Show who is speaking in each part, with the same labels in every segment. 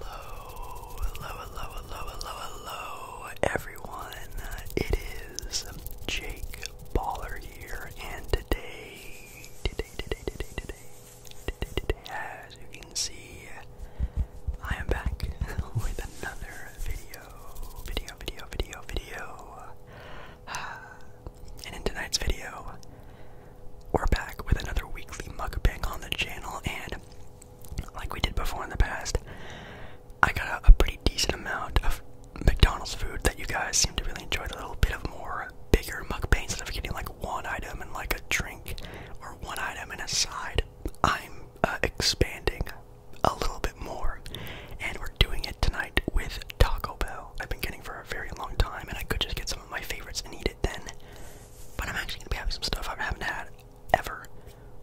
Speaker 1: Hello, hello, hello, hello, hello, everyone. It is Jake Baller here, and today, today, today, today, today, today, today, as you can see, I am back with another video, video, video, video, video. And in tonight's video, we're back with another weekly mukbang on the channel, and like we did before in the past, I got a, pretty decent amount of McDonald's food that you guys seem to really enjoy. A little bit of more bigger mukbangs instead of getting like one item and like a drink or one item and a side. I'm uh, expanding a little bit more, and we're doing it tonight with Taco Bell. I've been getting for a very long time, and I could just get some of my favorites and eat it then. But I'm actually gonna be having some stuff I haven't had ever,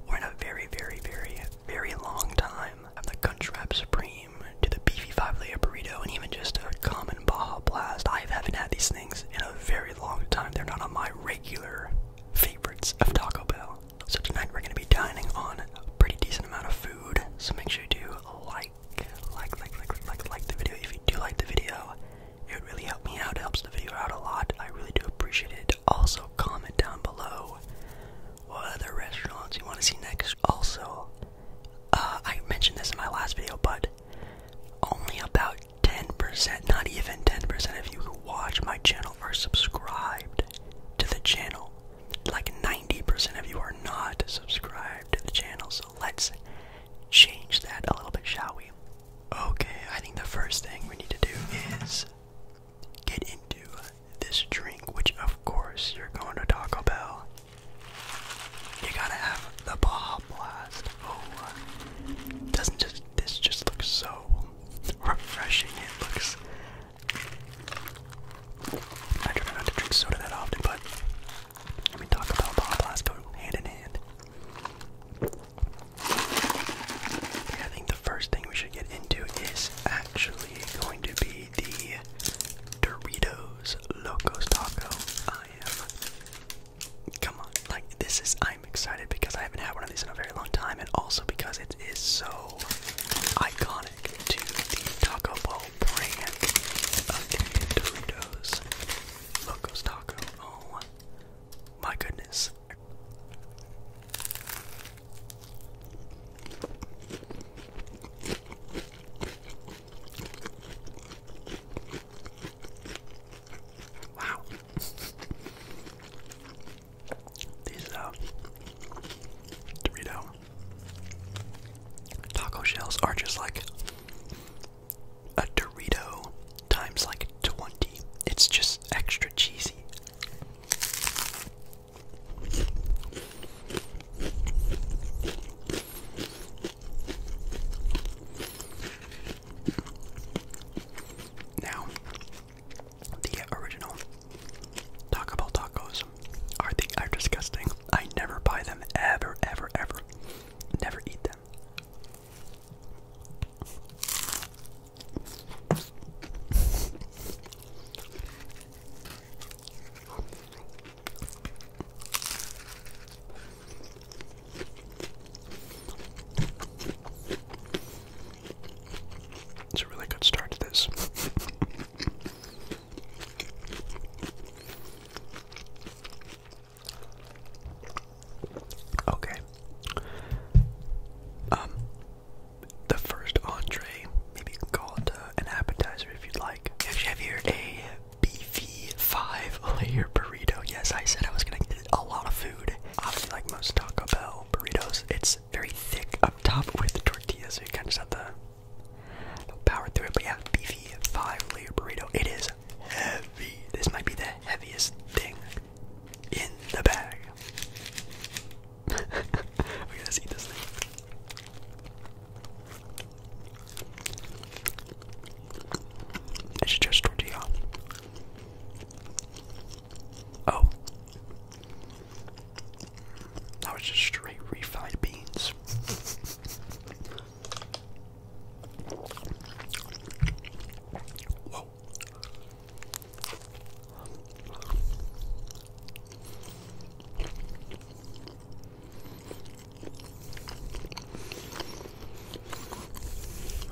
Speaker 1: or in a very, very, very, very long time. I'm the Crunchwrap Supreme to the beefy five-layer burrito, and even just a common Baja Blast. I haven't had these things in a very long time. They're not on my regular favorites of Taco Bell. So tonight we're gonna be dining on a pretty decent amount of food. So make sure you do like, like, like, like, like, like the video if you do like the video. It would really help me out. It helps the video out a lot. I really do appreciate it. Also, comment down below what other restaurants you want to see next. Also, uh, I mentioned this in my last video, but only about 10%, not even 10% of you who watch my channel are subscribed to the channel. Like 90% of you are not subscribed to the channel, so let's change that a little bit, shall we? Okay, I think the first thing we need to do is get into this drink, which of course you're going to Taco Bell. You gotta have the Baja Blast. Oh, doesn't just this just looks so refreshing? It looks. I try not to drink soda that often, but and we talk about Bob Blasco hand in hand. I think the first thing we should get into is actually going to be the Doritos Locos Taco. I am. Come on. Like, this is. I'm excited because I haven't had one of these in a very long time, and also because it is so iconic to the Taco Bell brand of Doritos Locos Taco. Oh my goodness. Wow. These uh, Dorito taco shells are just like a Dorito times like 20. It's just extra cheesy. Now, the original Taco Bell tacos are disgusting. I never buy them ever, ever, ever. Never eat them. It's a really good start to this. Okay. Um, the first entree, maybe you can call it uh, an appetizer if you'd like. We actually have here a beefy five-layer burrito. Yes, I said I was gonna get a lot of food. Obviously, like most Taco Bell burritos, it's very thick up top with the so you kind of have to power through it. But yeah, beefy five-layer burrito. It is heavy. This might be the heaviest thing in the bag. okay, let's eat this thing. It's just tortilla. Oh. That was just straight refried beans. Whoa.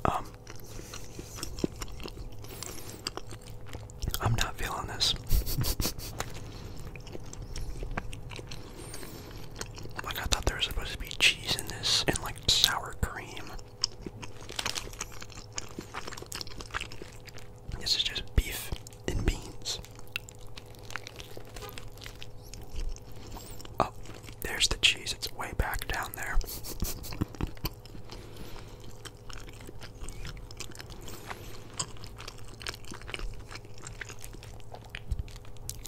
Speaker 1: Um, I'm not feeling this. Like I thought there was supposed to be cheese in this and like sour cream. This is just beef and beans. Oh, there's the cheese. It's way back down there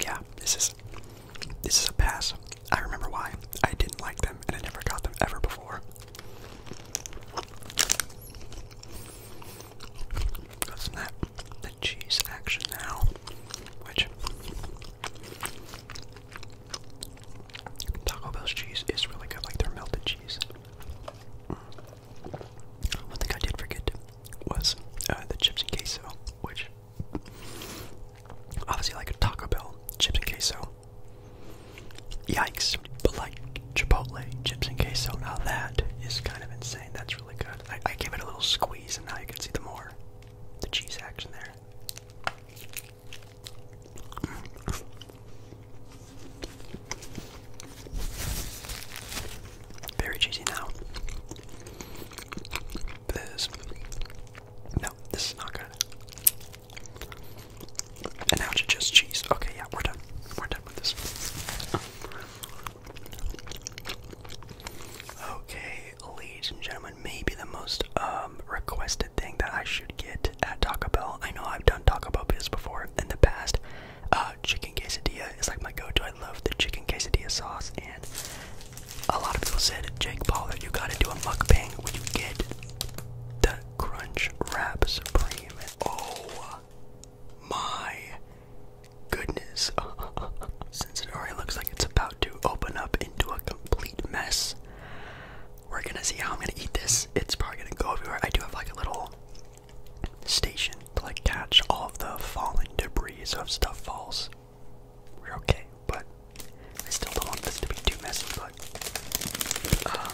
Speaker 1: yeah, this is this is a pass. I remember why I didn't like them, and I never got them ever before. Got some that the cheese action now, which Taco Bell's cheese is really good, like their melted cheese. One thing I did forget was uh, the chips and queso, which Obviously, like a Taco Bell, chips and queso. Yikes. But like Chipotle, chips and queso. Now that is kind of insane. That's really good. I, gave it a little squeeze, and now you can see the more the cheese action there. Very cheesy now. This. No, this is not good. And now to just cheese. Okay, yeah, we're done. We're done with this. Okay, ladies and gentlemen, maybe the most um requested thing that I should get at Taco Bell. I know I've done Taco Bell videos before in the past. Uh, chicken quesadilla is like my go-to. I love the chicken quesadilla sauce, and a lot of people said, Jake Pollard, you gotta do a mukbang when you get the Crunch Wrap Supreme. Oh my goodness. Since it already looks like it's about to open up into a complete mess, we're gonna see how I'm gonna eat this. It's probably gonna go everywhere. I do have like a little station to like catch all of the falling debris of stuff falls we're okay. But I still don't want this to be too messy. But um,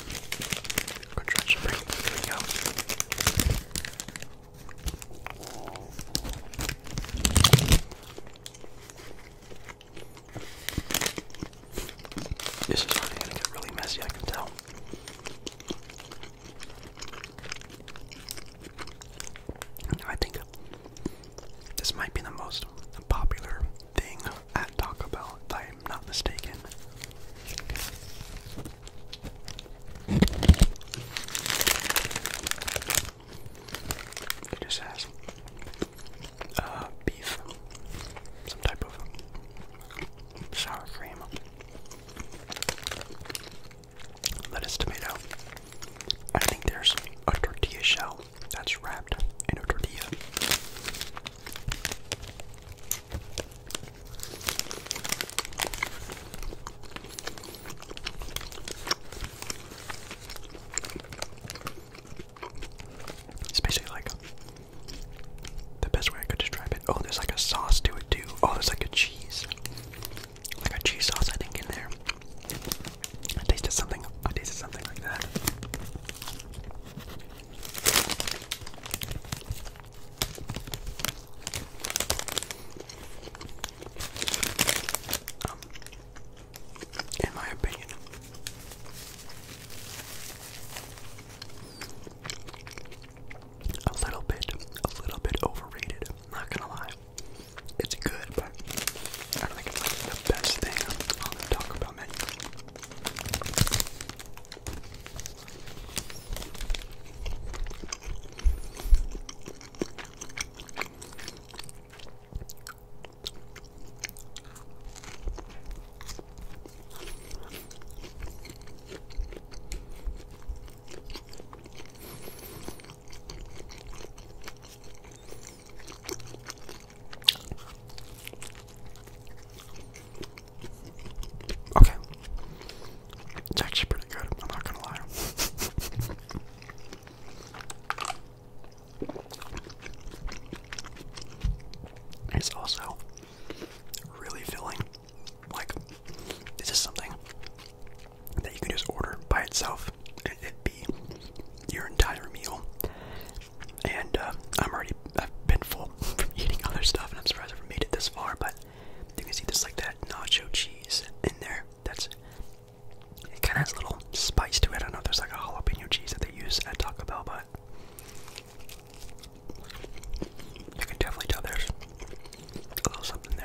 Speaker 1: I'm gonna try to bring this video. This is already gonna get really messy. I can tell. I think this might be the most popular thing at Taco Bell, if I'm not mistaken. It just has uh, beef, some type of sour cream, lettuce, tomato. I think there's a tortilla shell that's wrapped in a tortilla. It's basically like the best way I could describe it. Oh, there's like a sauce to it too. Oh, there's like a cheese like a cheese sauce, I think, in there. I tasted something. I tasted something like that. Um, in my opinion, a little bit, a little bit overrated. Not gonna lie. It's good, but I don't think it's the best thing on the Taco Bell menu. Okay. It's actually pretty good, I'm not gonna lie. It's also really filling. Like, this is something that you can just order by itself and it be your entire meal. And uh, I'm already, I've been full from eating other stuff and I'm surprised I've made it this far, but you can see this like that nacho cheese in there. That's it kind of has a little spice to it. I don't know if there's like a jalapeno cheese that they use at Taco Bell, but you can definitely tell there's a little something there.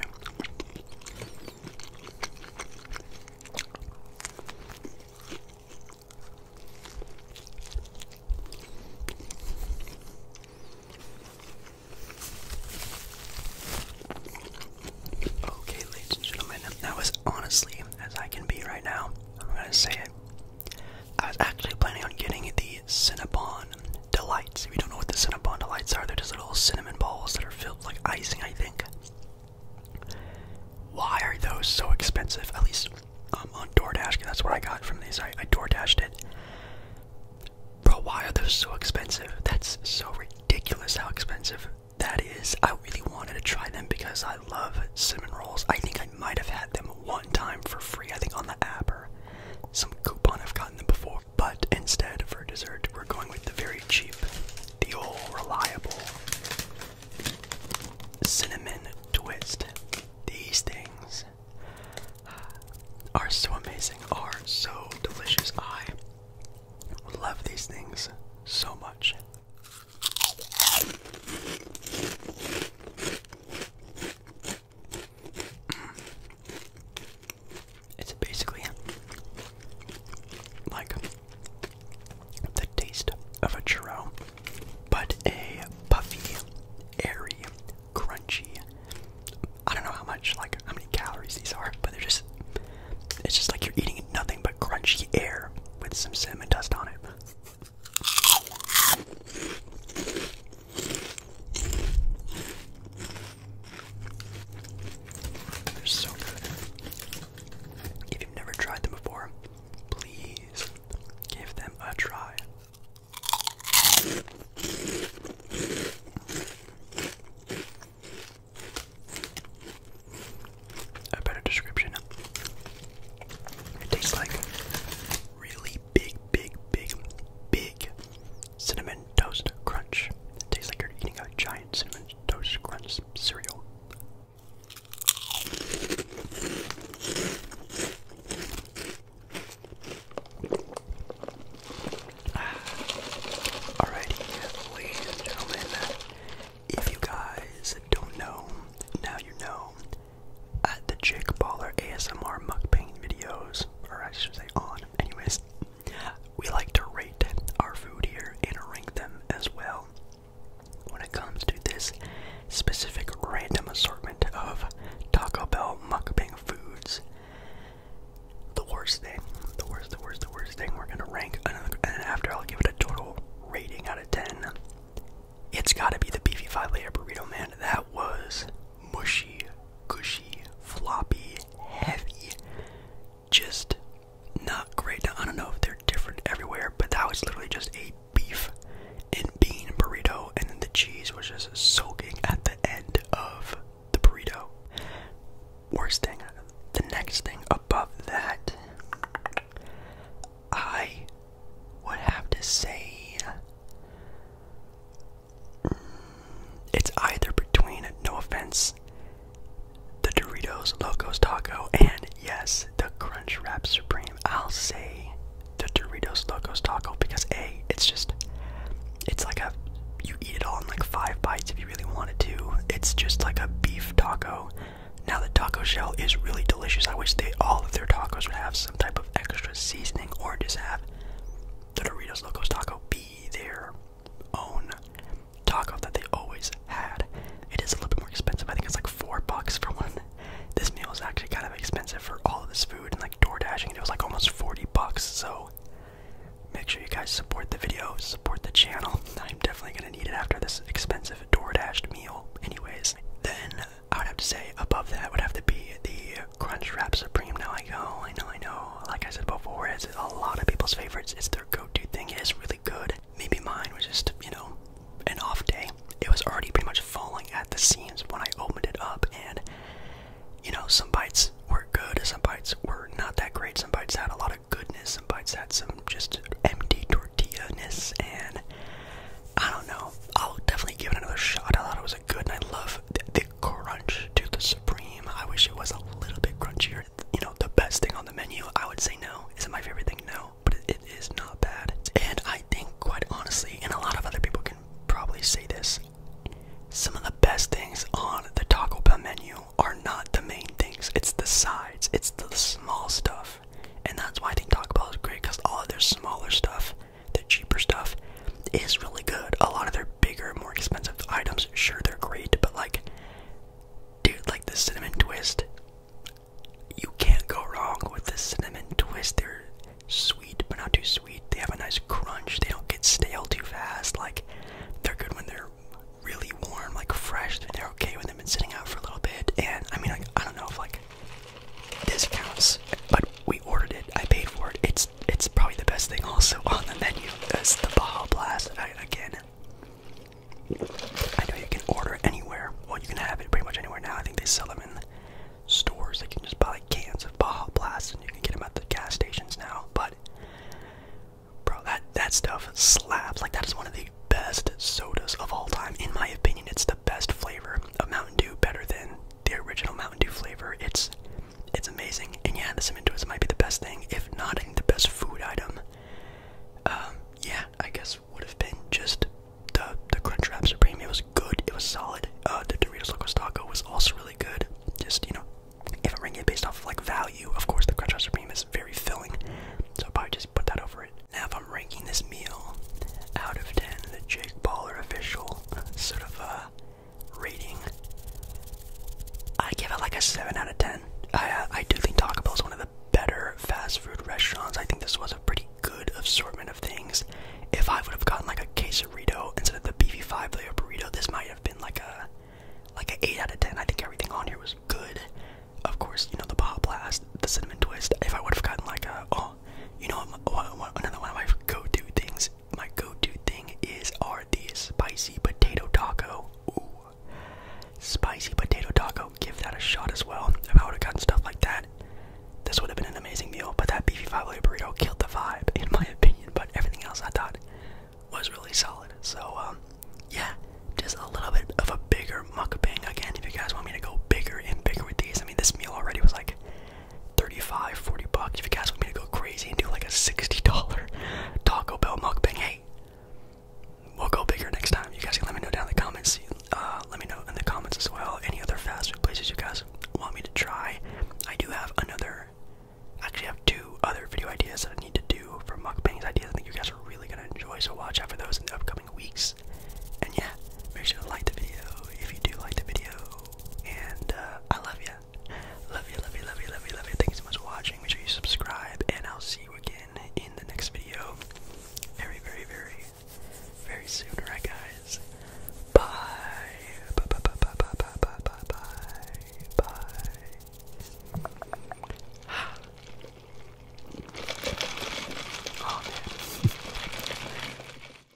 Speaker 1: Okay, ladies and gentlemen, that was honestly as I can be right now. I'm gonna say it. I was actually planning on getting the Cinnabon delights. If you don't know what the Cinnabon delights are, they're just little cinnamon balls that are filled like icing, I think. Why are those so expensive? At least um, on DoorDash, that's what I got from these. I, I DoorDashed it. Bro, why are those so expensive? That's so ridiculous how expensive that is. I really wanted to try them because I love cinnamon rolls. I think I might have had them one time for free, I think on the app or some coupon I've gotten them before. But instead, for dessert, we're going with the very cheap, the old reliable cinnamon twist. These things are so amazing, are so delicious. I love these things so much. It's basically like the taste of a churro, but a puffy, airy, crunchy. I don't know how much, like how many calories these are, but they're just. It's just like you're eating nothing but crunchy air with some cinnamon dust on it. They're so good. If you've never tried them before, please give them a try. A better description. It tastes like really big, big, big, big Cinnamon Toast Crunch. It tastes like you're eating a giant Cinnamon Toast Crunch cereal. Alrighty, ladies gentlemen, if you guys don't know, now you know. Uh, the Chick Baller ASMR mukbang videos, or I should say on, anyways, we like to rate our food here and rank them as well. When it comes to this specific random assortment of Taco Bell mukbang foods, the worst thing, the worst, the worst, the worst thing we're gonna rank, another, and after I'll give it a total rating out of 10, it's gotta be the beefy five layer burrito, man. That was mushy, gushy, floppy, heavy. Just not great. I don't know if they're different everywhere, but that was literally just a beef and bean burrito, and then the cheese was just soaking at the end of the burrito. Worst thing, the next thing above that, I would have to say it's either between, no offense, the Doritos Locos Taco and yes, the Crunch Wrap Supreme. I'll say the Doritos Locos Taco because A, it's just, it's like a, you eat it all in like five bites if you really wanted to. It's just like a beef taco. Now, the taco shell is really delicious. I wish they all of their tacos would have some type of extra seasoning or just have the Doritos Locos Taco be their own taco that they always had. It is a little bit more expensive. I think it's like four bucks for one. This meal is actually kind of expensive for all of this food and like door dashing. It was like almost 40 bucks. So make sure you guys support the video, support the channel. I'm definitely going to need it after this expensive door dashed meal, anyways. Then I would have to say above that would have to be the Crunchwrap Supreme. Now I go. I know, I know. Like I said before, it's a lot of people's favorites. It's their go-to thing. It is really good. Maybe mine was just, you know, an off day. It was already pretty much falling at the seams when I opened it up, and you know, some bites were good, some bites were not that great. Some bites had a lot of goodness. Some bites had some just empty tortilla-ness, and I don't know. I'll definitely give it another shot. I thought it was good, and I love the, crunch to the supreme. I wish it was a little bit crunchier. You know, the best thing on the menu, I would say no. Is not my favorite thing? No, but it is not bad. And I think, quite honestly, and a lot of other people can probably say this, some of the best things on the Taco Bell menu are not the main things. It's the sides. It's the small stuff. And that's why I think Taco Bell is great because all of their smaller stuff the cheaper stuff is really good. A lot of their bigger, more expensive items, sure they're great, but like dude, like the cinnamon twist. You can't go wrong with the cinnamon twist. They're sweet but not too sweet. They have a nice crunch. They don't get stale too fast. Like they're good when they're really warm, like fresh. They're okay when they've been sitting out for a little bit. And I mean, like I don't know if like this counts, but we ordered it. I paid for it. It's it's probably the best thing also on the menu. That's the Baja Blast I, again. I know you can order it anywhere. Well, you can have it pretty much anywhere now. I think they sell them in stores. They can just buy cans of Baja Blast, and you can get them at the gas stations now. But bro, that that stuff slaps. Like that is one of the best sodas of all time, in my opinion. It's the best flavor of Mountain Dew, better than the original Mountain Dew flavor. It's it's amazing. And yeah, the Cementos might be the best thing, if not, the best food item. Um, yeah, I guess would have been just the the Crunchwrap Supreme. It was good. It was solid. Uh, the Doritos Locos Taco was also really good. Just you know, if I'm ranking it based off of like value, of course the Crunchwrap Supreme is very filling. So I'll probably just put that over it. Now, if I'm ranking this meal out of ten, the Jake Baller official sort of uh rating, I give it like a 7 out of 10. I, uh, I do think Taco Bell is one of the better fast food restaurants. I think this was a pretty good assortment of things. If I would have gotten like a quesarito instead of the beefy five layer burrito, this might have been like a like an eight out of ten. I think everything on here was good. Of course, you know the Baja Blast, the cinnamon twist. If I would have gotten like a oh, you know another one of my go-to things my go-to thing is are these spicy potato taco. Ooh. Spicy potato taco. Give that a shot as well. If I would have gotten stuff like that, this would have been an amazing meal. But that beefy five layer burrito killed the vibe, in my opinion. But everything else I thought was really solid. So um, yeah, just a little bit of a bigger muck mukbang again. If you guys want me to go bigger and bigger with these, I mean this meal already was like 35, 40 bucks. If you guys want me to go crazy and do like a $60 Taco Bell mukbang, hey, we'll go bigger next time. You guys can let me know down in the comments. Uh, let me know in the comments as well. Any other fast food places you guys want me to try? I do have another. Actually, have two other video ideas that I need to do for mukbangs ideas. I think you guys are really gonna enjoy, so watch out for those in the upcoming weeks. And yeah, make sure to like the video if you do like the video and uh, I love you. Love you, love you, love you, love you, love you. Thank you so much for watching. Make sure you subscribe, and I'll see you again in the next video. Very, very, very, very soon. Alright, guys. Bye. Bye, bye, bye, bye, bye, bye, bye, bye, bye, oh,